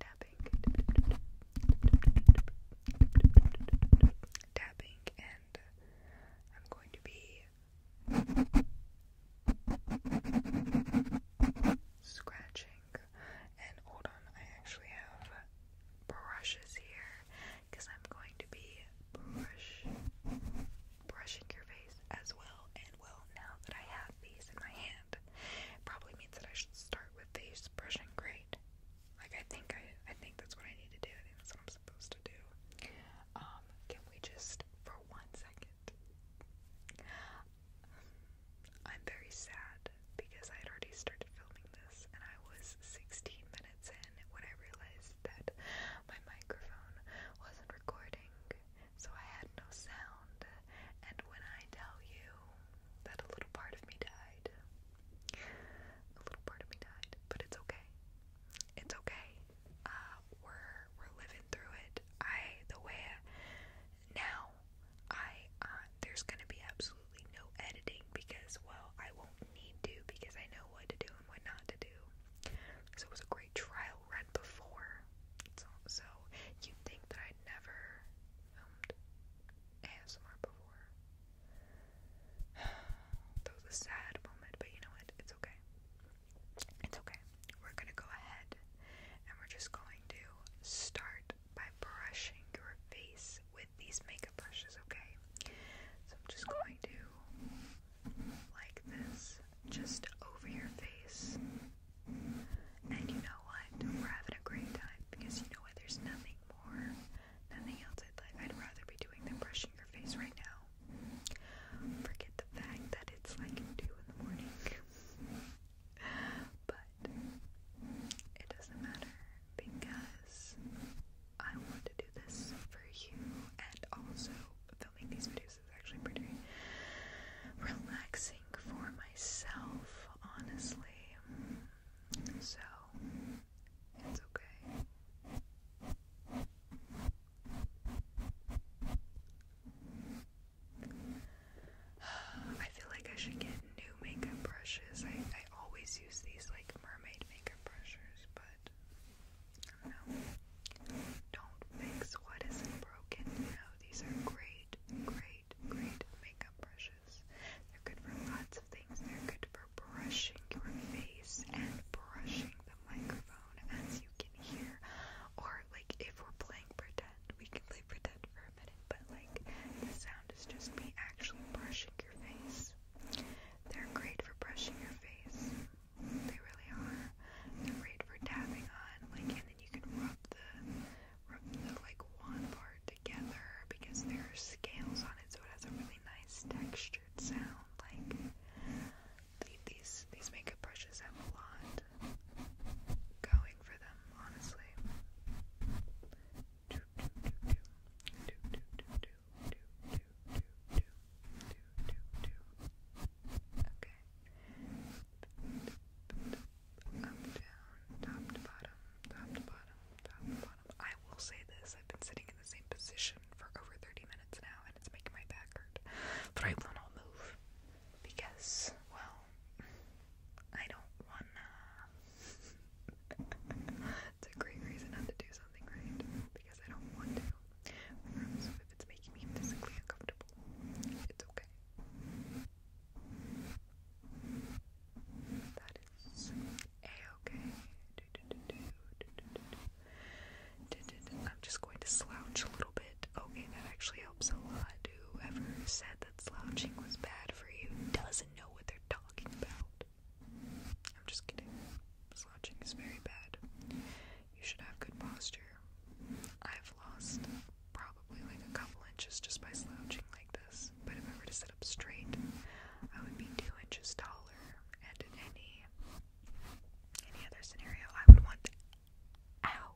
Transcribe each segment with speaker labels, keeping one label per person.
Speaker 1: tapping, tapping, and I'm going to be scratching. And hold on, I actually have brushes here because I'm going to be brushing your face as well well, now that I have these in my hand, it probably means that I should start with these brush and Like I think I, I think that's what I need to do. I think that's what I'm supposed to do. Um, can we just for one second? I'm very sad because I had already started filming this and I was 16 minutes in when I realized that my microphone wasn't recording so I had no sound. And when I tell you that a little part of me died, a little part of me died, but it's okay. It's okay. Uh, we're we're living through it. I the way now I uh, there's gonna be absolutely no editing because well I won't need to because I know what to do and what not to do. So it was a great trial run before, so, so you'd think that I'd never filmed ASMR before. that was a sad moment, but you know what? It's okay. It's okay. We're gonna go ahead and we're just going to start by brushing your face with these makeup brushes, okay? So I'm just going to like this just over your face. And you know what? We're having a great time because you know what? There's nothing more, nothing else I'd rather be doing than brushing your face right now. Forget the fact that it's like 2 in the morning. but it doesn't matter because I want to do this for you and also filming these videos is actually pretty relaxing for myself, honestly. So, it's okay. I feel like I should get new makeup brushes. I, I always use these like mermaid makeup brushes, but don't fix what isn't broken, you know. These are great, great, great makeup brushes. They're good for lots of things. They're good for brushing your face and brushing the microphone as you can hear. Or like if we're playing pretend, we can play pretend for a minute, but like the sound is just me actually brushing your face. They're great for brushing your face. They really are. They're great for tapping on, like, and then you can rub the, rub the like wand part together because there are scales on it, so it has a really nice textured sound. Like these, these makeup brushes have a lot going for them, honestly. Okay. Up, down, top to bottom, top to bottom, top to bottom. I will say this, I've been sitting in the same position for over 30 minutes now and it's making my back hurt. But I will not move because, well, I don't wanna. it's a great reason not to do something right because I don't want to if it's making me physically uncomfortable, it's okay. That is a-okay. I'm just going to slouch a little bit. Okay, that actually helps a lot. Whoever said that slouching was bad for you doesn't know what they're talking about. I'm just kidding. Slouching is very bad you should have good posture. I've lost probably like a couple inches just by slouching like this, but if I were to sit up straight, I would be two inches taller, and in any any other scenario, I would want. Ow!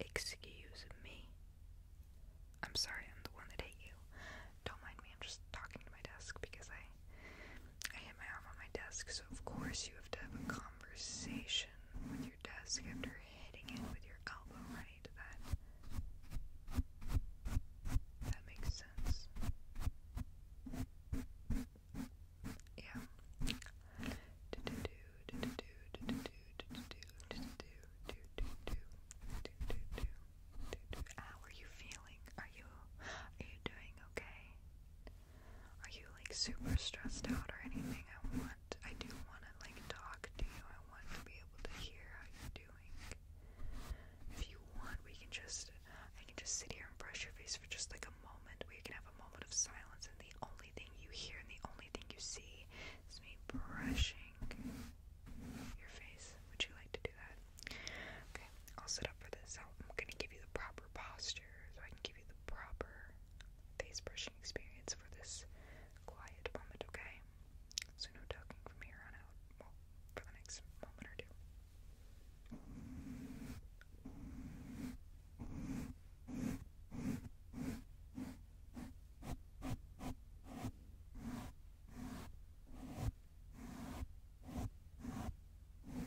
Speaker 1: Excuse me. I'm sorry, I'm the one that hit you. Don't mind me, I'm just talking to my desk because I I hit my arm on my desk, so of course you have to have conversation with your desk after hitting it with your elbow, right? That that makes sense. Yeah. Do do do do do do do do do do do do do. How are you feeling? Are you are you doing okay? Are you like super stressed out or anything? I want, I do want to like talk to you. I want to be able to hear how you're doing. If you want, we can just, I can just sit here and brush your face for just like a moment. We can have a moment of silence, and the only thing you hear and the only thing you see is me brushing your face. Would you like to do that? Okay, I'll set up for this. i am gonna give you the proper posture so I can give you the proper face brushing experience for this quiet moment, okay? So no talking from here on out. Well, for the next moment or two.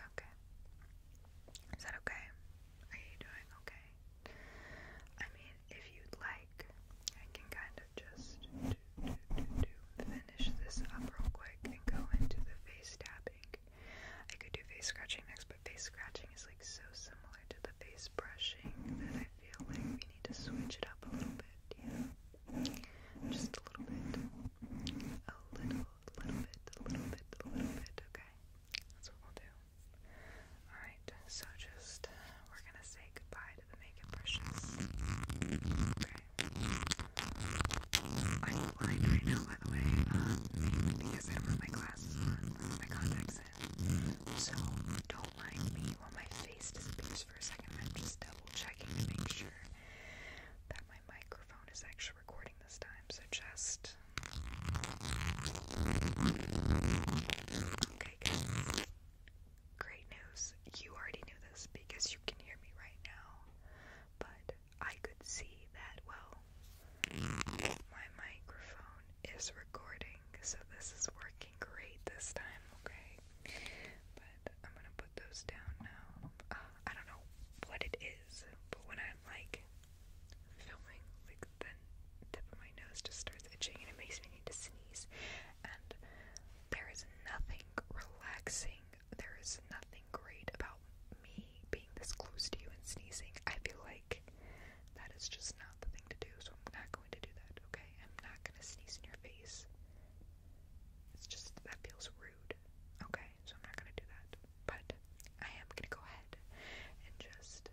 Speaker 1: Okay. Is that okay? Are you doing okay? I mean, if you'd like, I can kind of just finish this up real quick and go into the face tapping. I could do face scratching next, but face scratching is like so similar to the face brushing that I feel like we need to switch it up a little bit, yeah. Just a little bit. A little, little bit, a little bit, a little bit, okay? That's what we'll do. Alright, so just, we're gonna say goodbye to the makeup brushes. Okay? I'm blind by the way, um, because I do my glasses on, my contacts in. So, don't mind me while my face disappears for a second. I'm just double checking to make sure that my microphone is actually recording this time, so just. Okay, guys. Great news. You already knew this because you can hear me right now, but I could see that, well, my microphone is recording, so this is working great this time, okay? I'm gonna put those down now. Uh, I don't know what it is, but when I'm like filming, like the tip of my nose just starts itching and it makes me need to sneeze. And there is nothing relaxing. There is nothing great about me being this close to you and sneezing. I feel like that is just not the thing to do. So I'm not going to do that. Okay, I'm not gonna sneeze in your face. It's just that feels rude. Okay, so I'm not gonna do that. But I am gonna go ahead and just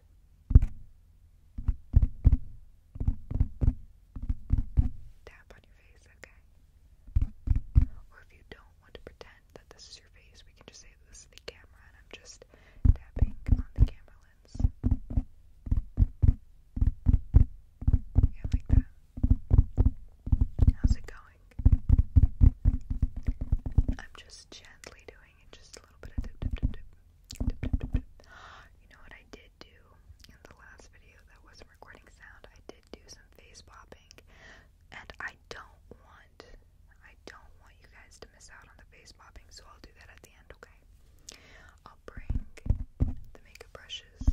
Speaker 1: tap on your face, okay? Or if you don't want to pretend that this is your face, we can just say this is the camera and I'm just tapping on the camera lens. Yeah, like that. How's it going? I'm just gently doing it, just a little bit of dip, dip, dip, dip, dip, dip, dip, You know what I did do in the last video that wasn't recording sound? I did do some face popping, and I don't want, I don't want you guys to miss out on the face popping, so I'll do that at the end, okay? I'll bring the makeup brushes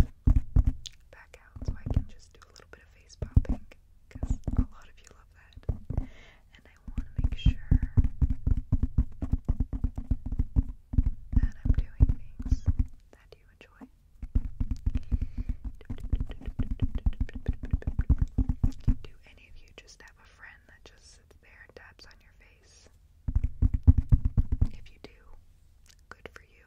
Speaker 1: back so I can just do a little bit of face popping because a lot of you love that. And I want to make sure that I'm doing things that you enjoy. Do any of you just have a friend that just sits there and taps on your face? If you do, good for you.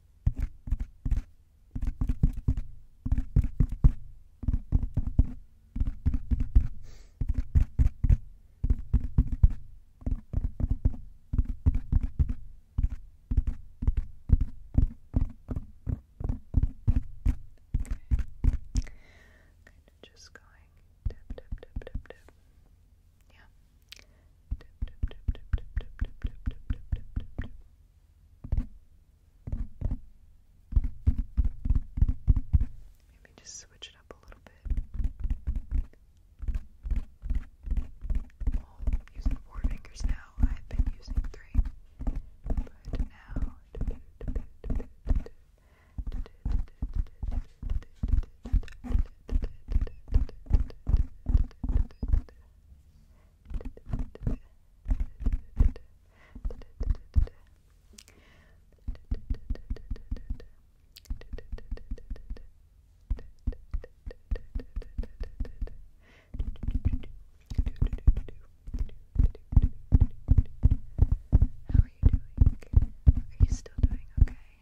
Speaker 1: Okay. Kind of just going tap, tap, tap, tap, tap. Yeah. Maybe just switch it up a little bit. Oh, I'm using four fingers now. I've been using three. But now. How are you doing? Are you still doing okay?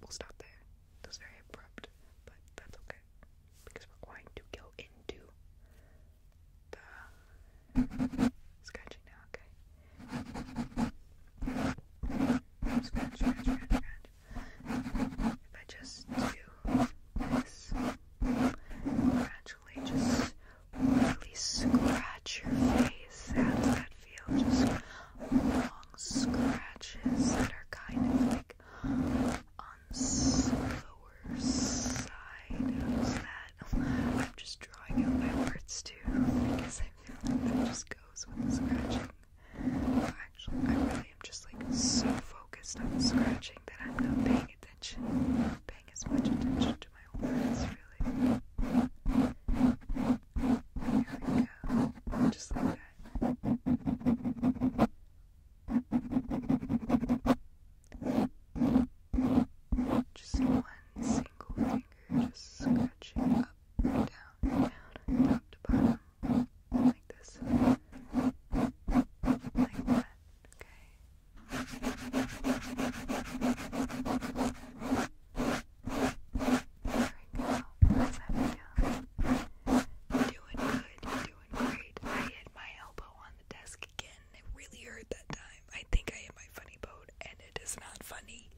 Speaker 1: We'll stop there. That was very abrupt, but that's okay because we're going to go into the scratching now, okay? if I just do this, gradually just really scratch your face. and that feel? Just long scratches that are kind of like on the lower side. How's that? I'm just drawing out my words too because I feel like that just goes with the scratching actually, I really am just like so focused on scratching that I'm not paying attention, paying as much attention to my words, really. There we go. Just like that. Just one single finger, just scratching up down, down, top like this, like that, okay? There we go, let that down. Doing good, doing great. I hit my elbow on the desk again, it really hurt that time. I think I hit my funny bone, and it is not funny.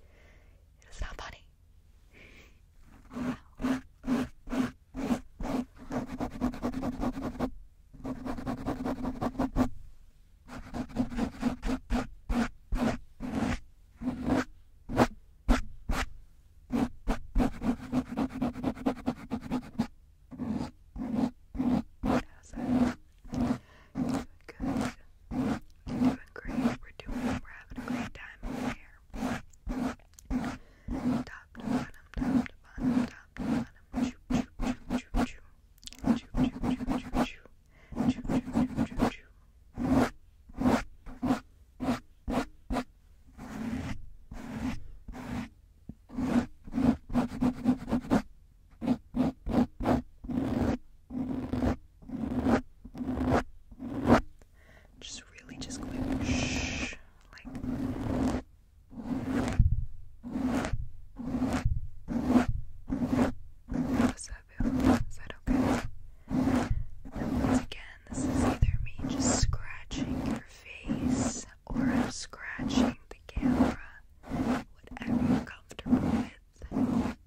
Speaker 1: It is not funny. That was a, do a good doing. I'm doing great. We're doing. We're having a great time over here. Top to bottom, top to bottom, top to bottom. Choo choo choo choo choo. Choo choo choo choo choo. Choo choo choo choo choo. Just really just going shh, like. Is that okay? once again, this is either me just scratching your face or I'm scratching the camera. Whatever you're comfortable with. Just like that, okay? Doing great.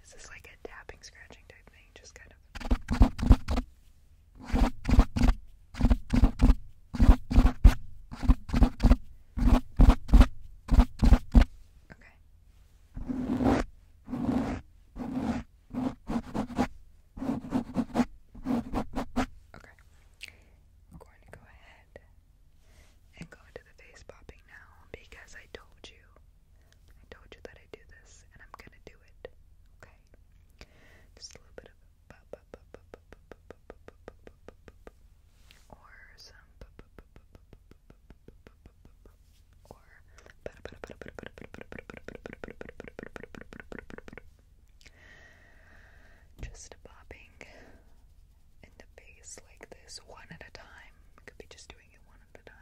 Speaker 1: This is like a tapping, scratching type thing, just kind of. Okay, Okay. Okay. I'm going to go ahead and go into the face popping now because I told you. I told you that I do this and I'm gonna do it. Okay? Just a little bit of or some or just bobbing in the face like this one at a time. Could be just doing it one at a time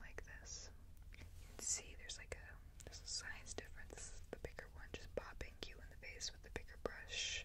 Speaker 1: like this. You can see there's like a size difference. the bigger one just bobbing you in the face with the bigger brush.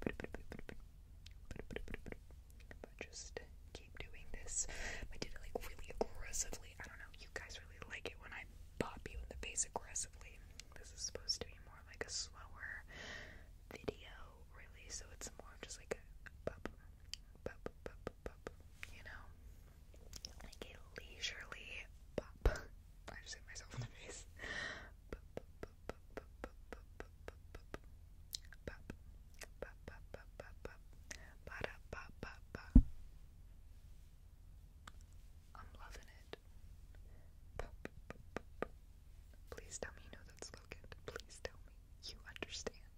Speaker 1: But just keep doing this. I did it like really aggressively I don't know, you guys really like it when I pop you in the face aggressively. This is supposed to be more like a slower video, really, so it's more just like a pop, pop, pop, pop, you know? Like a leisurely pop. I just hit myself in the face ba ba ba ba ba ba da, ba ba ba I'm loving it. Ba, ba, ba, ba, ba. Please tell me you know that slogan. Please tell me you understand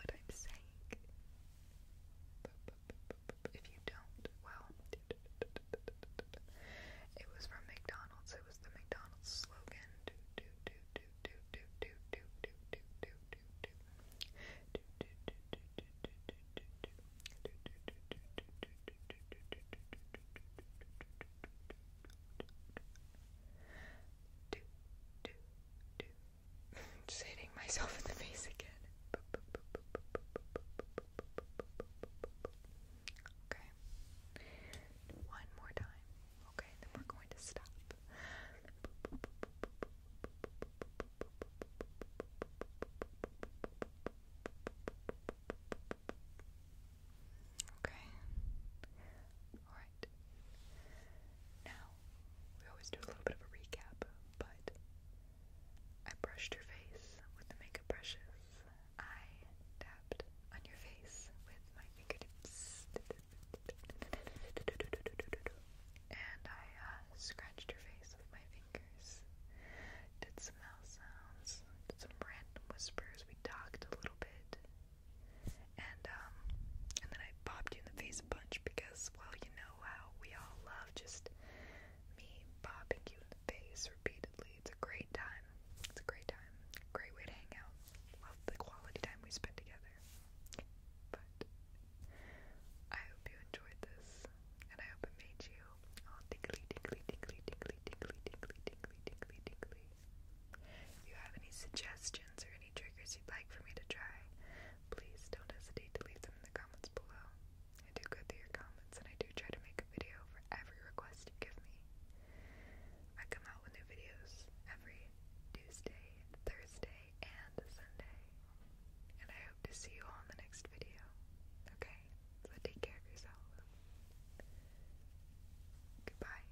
Speaker 1: what I'm saying. Ba, ba, ba, ba, ba, ba. If you don't, well, it was from McDonald's. It was the McDonald's slogan. Do do do just hitting myself in the face again. Okay. One more time. Okay, then we're going to stop. Okay. All right. Now, we always do a little bit of a recap, but I brushed your face with the makeup brushes. I tapped on your face with my fingertips. And I uh, scratched her face with my fingers. Did some mouth sounds, did some random whispers. We talked a little bit, and um, and then I bopped you in the face a bunch because, well, you know how we all love just me bopping you in the face repeatedly. It's a great time. It's a great time. Great way to hang out. Love the quality time we spend together. But I hope you enjoyed this, and I hope it made you all tickly, tickly, tickly, tickly, tickly, tickly, tickly, tickly, tickly. If you have any suggestions or any triggers you'd like for me to try, please don't hesitate to leave them in the comments below. I do go through your comments, and I do try to make a video for every request you give me. I come out with new videos every Tuesday Thursday and Sunday. And I hope to see you all in the next video. Okay? So take care of yourself. Goodbye.